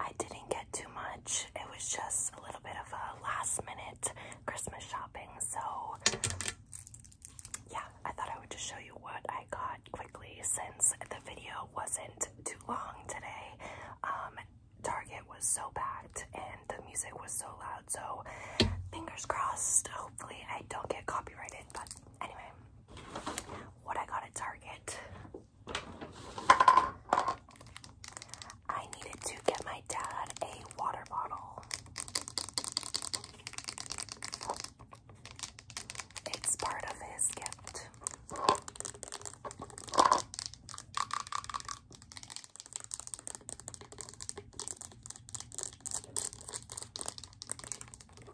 I didn't get too much. It was just a little bit of a last minute Christmas shopping. So, yeah, I thought I would just show you what I got quickly since the video wasn't too long today. Um, Target was so packed and the music was so loud. So, fingers crossed, hopefully, I don't get copyrighted. But anyway, what I got at Target. I needed to get my dad a water bottle. It's part of his gift. It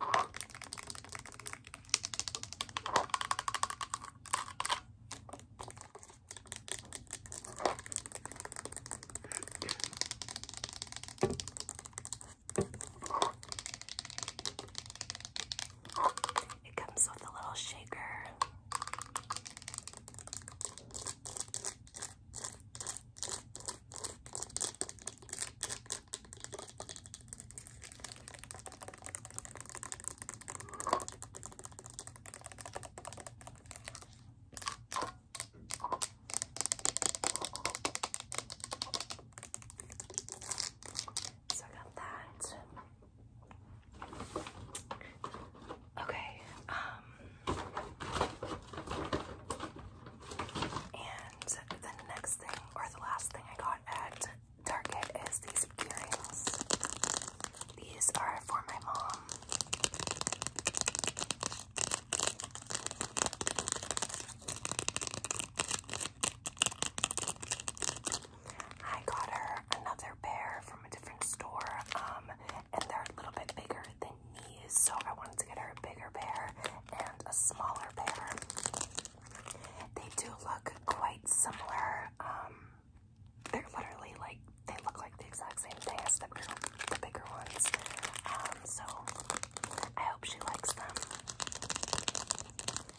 comes with a little shaker. So I got that. Okay. Um, and the next thing, or the last thing I got at Target is these earrings. These are for my mom. I got her another pair from a different store, um, and they're a little bit bigger the knees, so I wanted to get her a bigger pair and a smaller pair. They do look quite similar. Um, they're literally like they look like the exact same thing as the bigger, the bigger ones. Um, so I hope she likes them.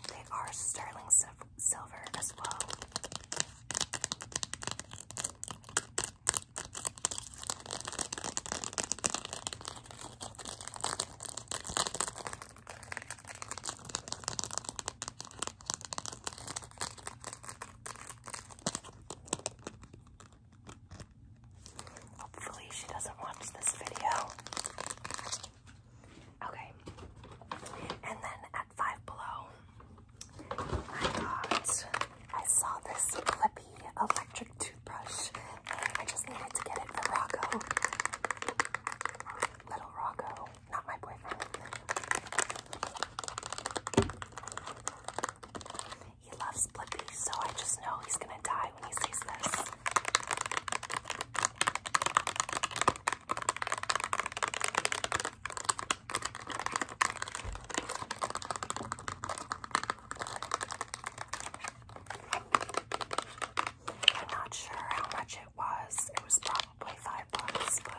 They are sterling silver as well. Hopefully, she doesn't watch this video. Okay, and then at Five Below, I got, I saw this Clippy electric toothbrush. I just needed to get it for Rocco. Little Rocco, not my boyfriend. He loves Blippi, so I just know he's gonna die when he sees this. I'm not sure how much it was. It was probably five bucks, but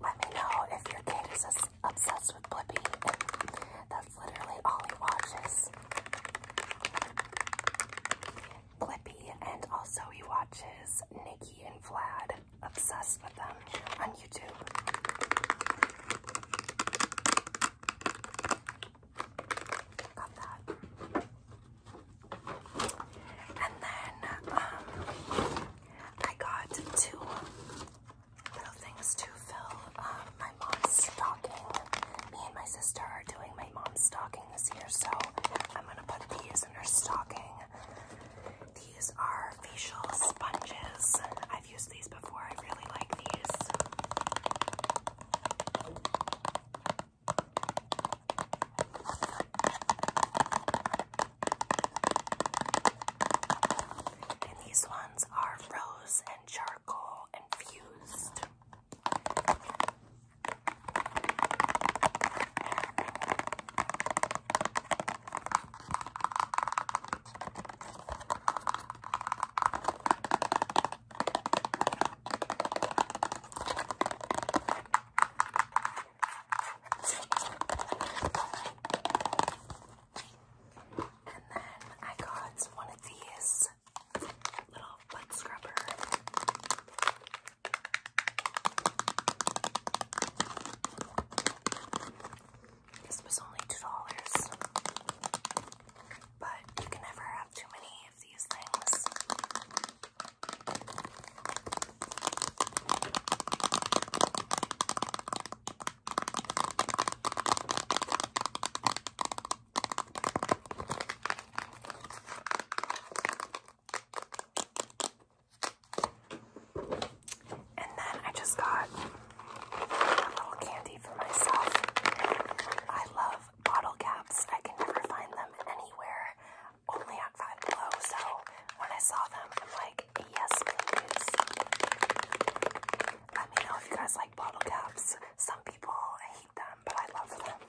let me know if your kid is obsessed with Blippi. That's literally all he watches. Blippi, and also he watches Nikki and Vlad. Obsessed with them on YouTube. Got that. And then, um, I got two little things to fill um, my mom's stocking. Me and my sister are doing my mom's stocking this year, so I'm gonna put these in her stocking. These are facial sponges. I've used these before. I really like these. And these ones are rose and charcoal infused. And then I got one of these little butt scrubber. This was only two dollars, but you can never have too many of these things. And then I just got a little candy for myself. I love bottle caps. I can never find them anywhere only at Five Below. So when I saw them, I'm like, yes, please. Let me know if you guys like bottle caps. Some people hate them, but I love them.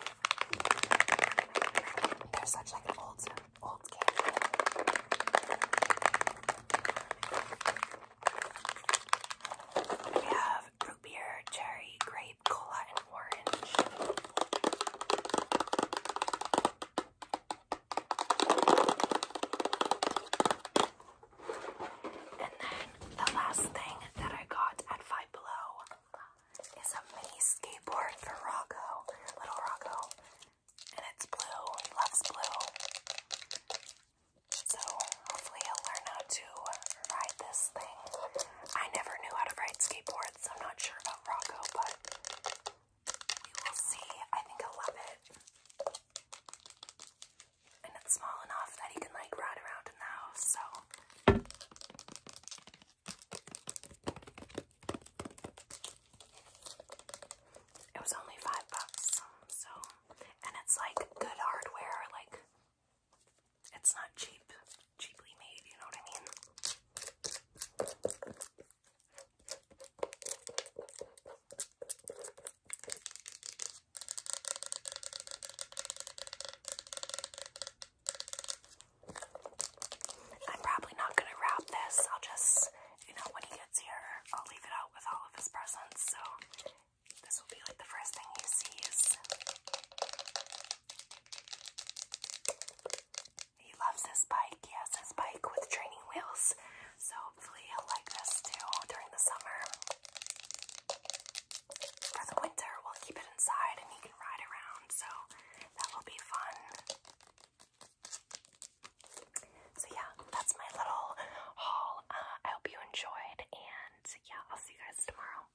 They're such like an old, old candy. We have root beer, cherry, grape, cola, and orange. And then the last thing that I got at Five Below is a mini skateboard for Rocco, little Rocco. And it's blue, loves blue. So hopefully he'll learn how to ride this thing. I never knew how to ride skateboards. so I'm not sure Rocco, but we will see. I think he love it. And it's small enough that he can like ride around in the house, so. It was only five bucks, so. And it's like good hardware, like, it's not cheap cheaply made, you know what I mean? I'm probably not going to wrap this. I'll just, you know, when he gets here, I'll leave it out with all of his presents. So this will be like the first thing he sees. He loves his bike. He has his bike with training wheels. So hopefully he'll like this too during the summer. For the winter, we'll keep it inside and he can ride around. So that will be fun. So yeah, that's my little haul. Uh, I hope you enjoyed and yeah, I'll see you guys tomorrow.